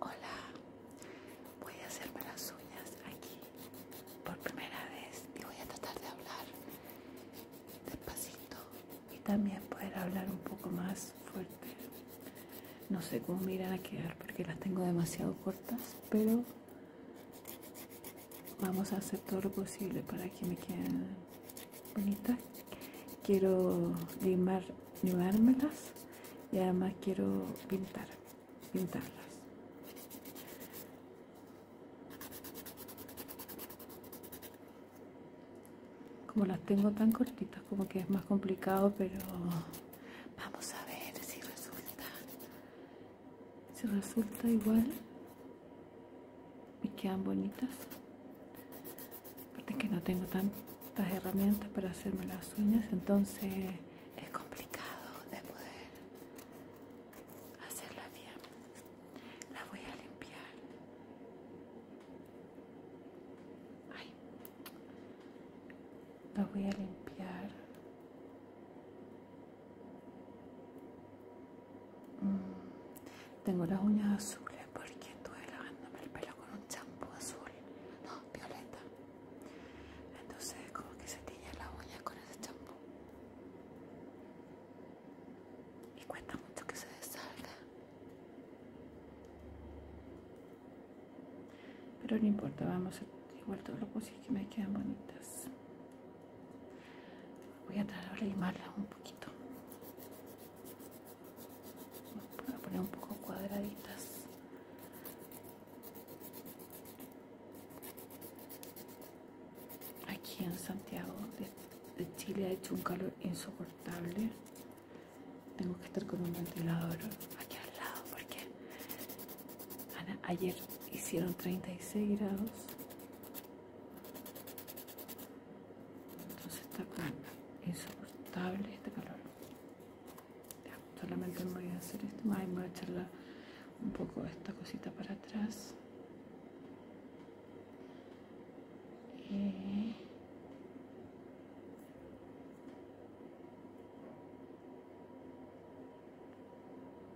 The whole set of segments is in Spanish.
Hola, voy a hacerme las uñas aquí por primera vez y voy a tratar de hablar despacito y también poder hablar un poco más fuerte. No sé cómo me irán a quedar porque las tengo demasiado cortas, pero vamos a hacer todo lo posible para que me queden bonitas quiero limar, limármelas y además quiero pintar, pintarlas. Como las tengo tan cortitas, como que es más complicado, pero vamos a ver si resulta. Si resulta igual, y quedan bonitas aparte que no tengo tantas herramientas para hacerme las uñas entonces es complicado de poder hacerla bien la voy a limpiar Ay. la voy a limpiar mm. Tengo las uñas azules porque estuve lavándome el pelo con un champú azul, no, violeta. Entonces como que se tiñe las uñas con ese champú. Y cuesta mucho que se desalga. Pero no importa, vamos a igual todo lo posible que me queden bonitas. Voy a tratar de limarlas un poquito. Voy a poner un poco cuadraditas. Aquí en Santiago de, Chile ha hecho un calor insoportable. Tengo que estar con un ventilador aquí al lado porque ayer hicieron 36 grados entonces está insoportable este calor ya, solamente me voy a hacer esto me voy a echarla un poco esta cosita para atrás Y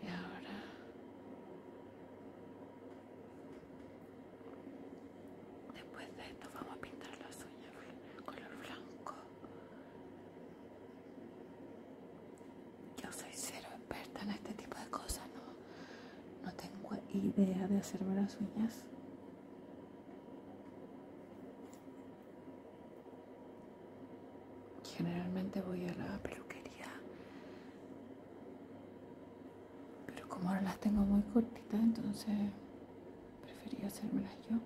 ahora Después de esto vamos a pintar las uñas color blanco. Yo soy cero experta en este tipo de cosas, no, no tengo idea de hacerme las uñas. Generalmente voy a la peluquería pero como ahora las tengo muy cortitas, entonces preferí hacérmelas yo.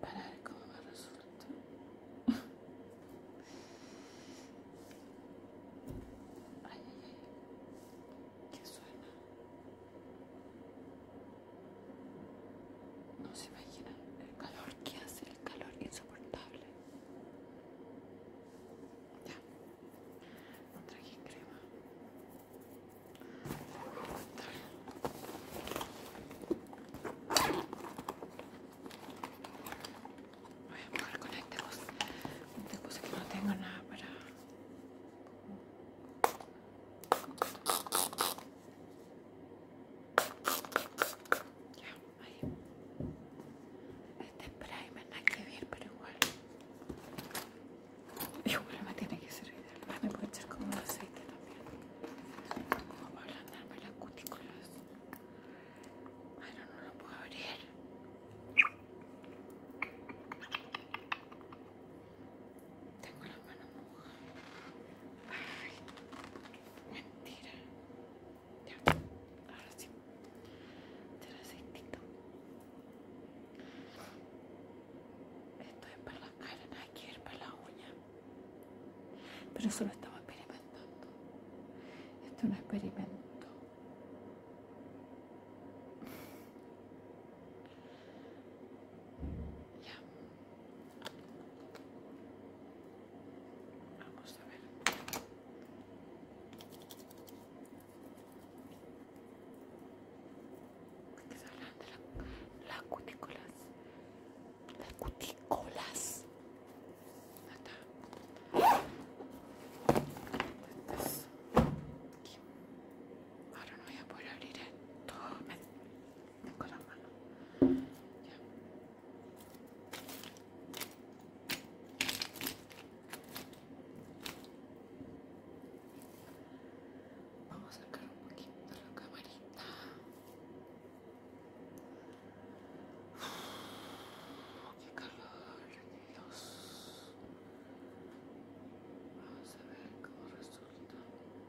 Para ver cómo me resulta. ay, ay, ay. ¿Qué suena? No se imaginan el calor que hace, el calor insoportable. Ya. No traje crema. Voy a jugar con este cosa. Este cosa que no tengo nada para. Ya. Ay. Este primer no hay que ver, pero igual. Igual me tiene que servir. Me puede echar como un aceite también. Como para ablandarme las cutículas. Ay, no, no lo puedo abrir. Tengo las manos mojadas. Ay, mentira. Ya, ahora sí. Se aceitito. Esto es para la cara, hay que ir para la uña. Pero eso lo estamos experimentando. Esto es un experimento. Ya. Vamos a ver. Las cutículas. Las cutículas. Ahora no voy a poder abrir esto. Vamos a sacar un poquito la camarita. ¡Qué calor, Dios! Vamos a ver cómo resulta. Vamos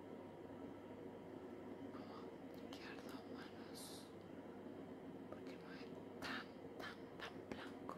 oh, a quedar las manos porque no es tan, tan, tan blanco.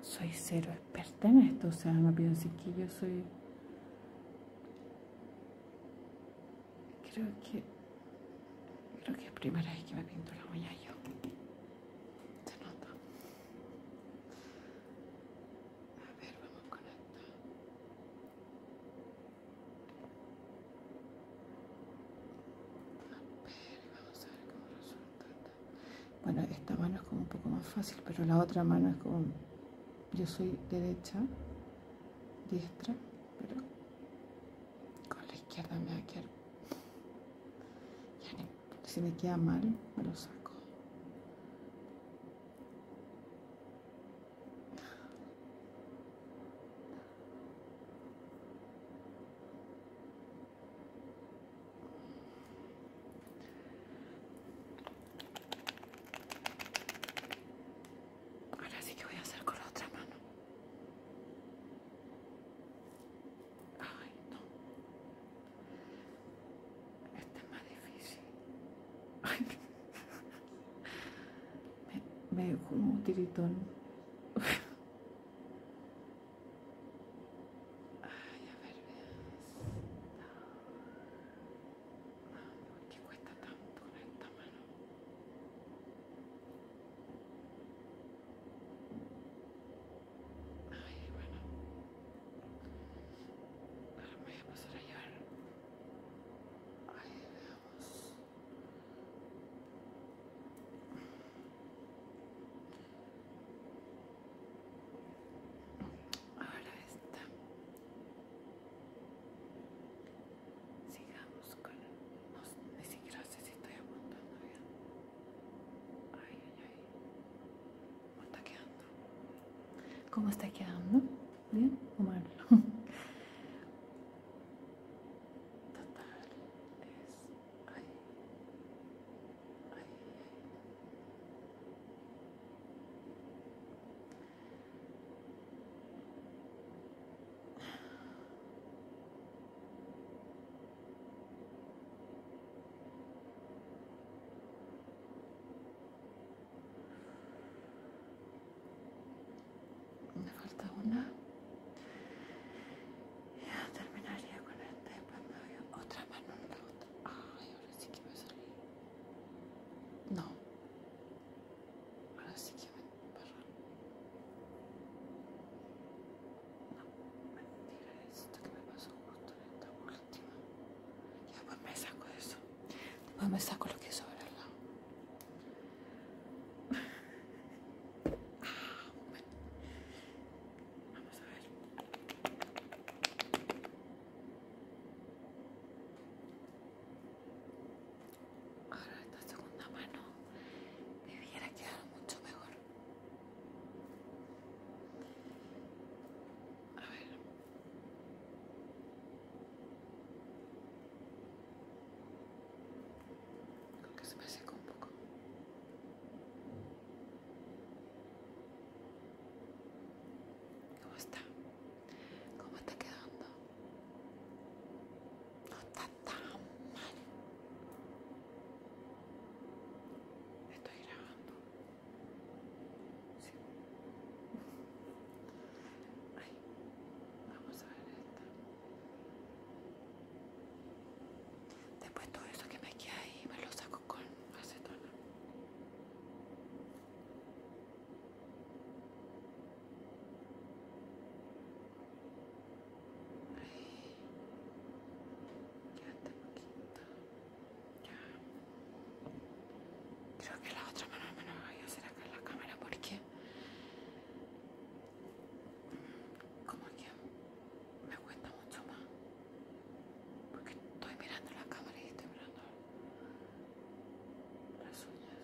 soy cero experta en esto, o sea, no así que yo soy... Creo que... Creo que es primera vez que me pinto la uña yo. Se nota. A ver, vamos con esta. A ver, vamos a ver cómo resulta. Bueno, esta mano es como un poco más fácil, pero la otra mano es como... Yo soy derecha, diestra, pero con la izquierda me va a quedar... Ya si me queda mal, me lo saco. Ahora sí que voy a hacer con la otra mano. Ay, no. Este es más difícil. Ay, me, me como un tiritón. Ay, a ver, no, ¿por qué cuesta tanto con esta mano? Ay, bueno. Ahora me voy a pasar a llevar. Ay, veamos. Ahora está. Sigamos con. ni siquiera sé si estoy apuntando bien. Ay, ay, ay. ¿Cómo está quedando? ¿Cómo está quedando? ¿Bien o mal? Total, es me falta una. Ya terminaría con el este, pues y otra mano, no la otra Ay, ahora sí que me salí. No. Ahora sí que me no, mentira esto que me pasó justo en esta última. Ya, pues me saco eso. Después me saco lo que sobre el lado. Vamos a ver. Ahora esta segunda mano debiera quedar mucho mejor. A ver. Creo que se me secó un poco. ¿Cómo está? ¿Cómo está quedando? No está tan mal. Estoy grabando. vamos a ver esta. Después todo eso que me queda ahí me lo saco con acetona. Ya poquito. Ya. Creo que la otra mano me voy a hacer acá la cámara porque como que me cuesta mucho más. Porque estoy mirando la cámara y estoy mirando las uñas.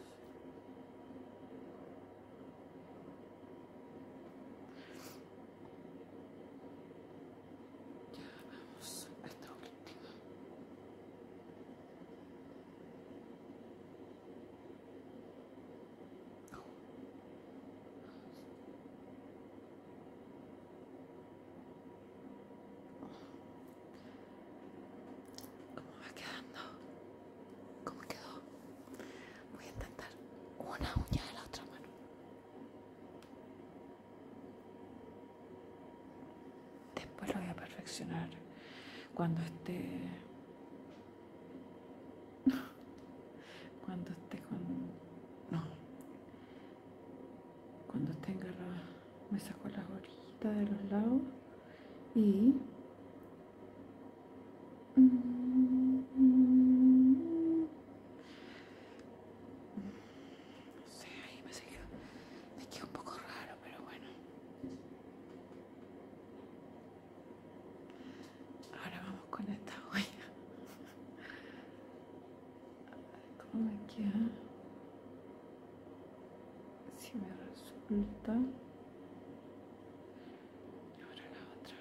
¿Cómo va quedando? ¿Cómo quedó? Voy a intentar una uña de la otra mano. Después lo voy a perfeccionar cuando esté cuando esté con no cuando tenga la... me saco las gorritas de los lados y no sé, ahí me seguido. Me queda un poco raro, pero bueno. Ahora vamos con esta huella. ¿Cómo me queda? Si me resulta. Y ahora la otra.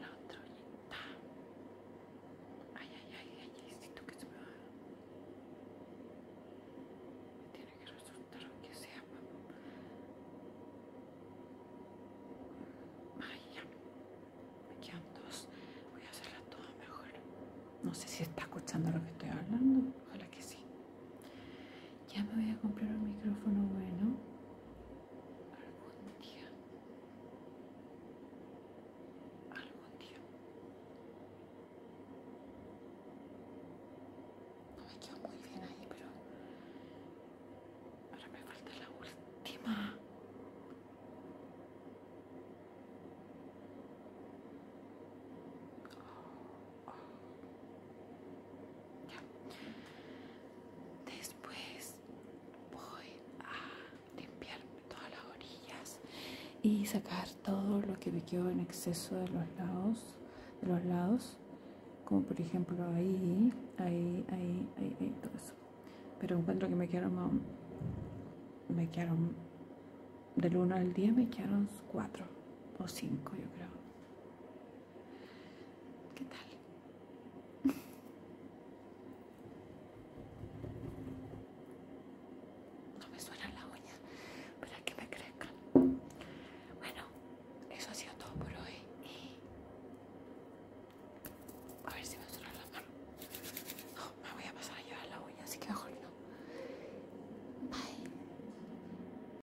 La otra ollita. Ay, ay, ay, ay, ay, siento que se me va. Me tiene que resultar que sea, papá. Ay, Me quedan dos. Voy a hacerlas todas mejor. No sé si está escuchando lo que estoy hablando. Ojalá que sí. Ya me voy a comprar un micrófono bueno. Algún día. Algún día. No me quedo muy bien ahí, pero ahora me falta la última. Después voy a limpiar todas las orillas y sacar todo lo que me quedó en exceso de los lados, de los lados, como por ejemplo ahí, ahí, ahí, ahí, ahí todo eso. Pero encuentro que me quedaron, me quedaron del 1 al 10 me quedaron 4 o 5 yo creo ¿Qué tal? No me suena la uña para que me crezcan. Bueno, eso ha sido todo por hoy. a ver si me suena la mano. No, me voy a pasar a llevar la uña, así que mejor no. Bye.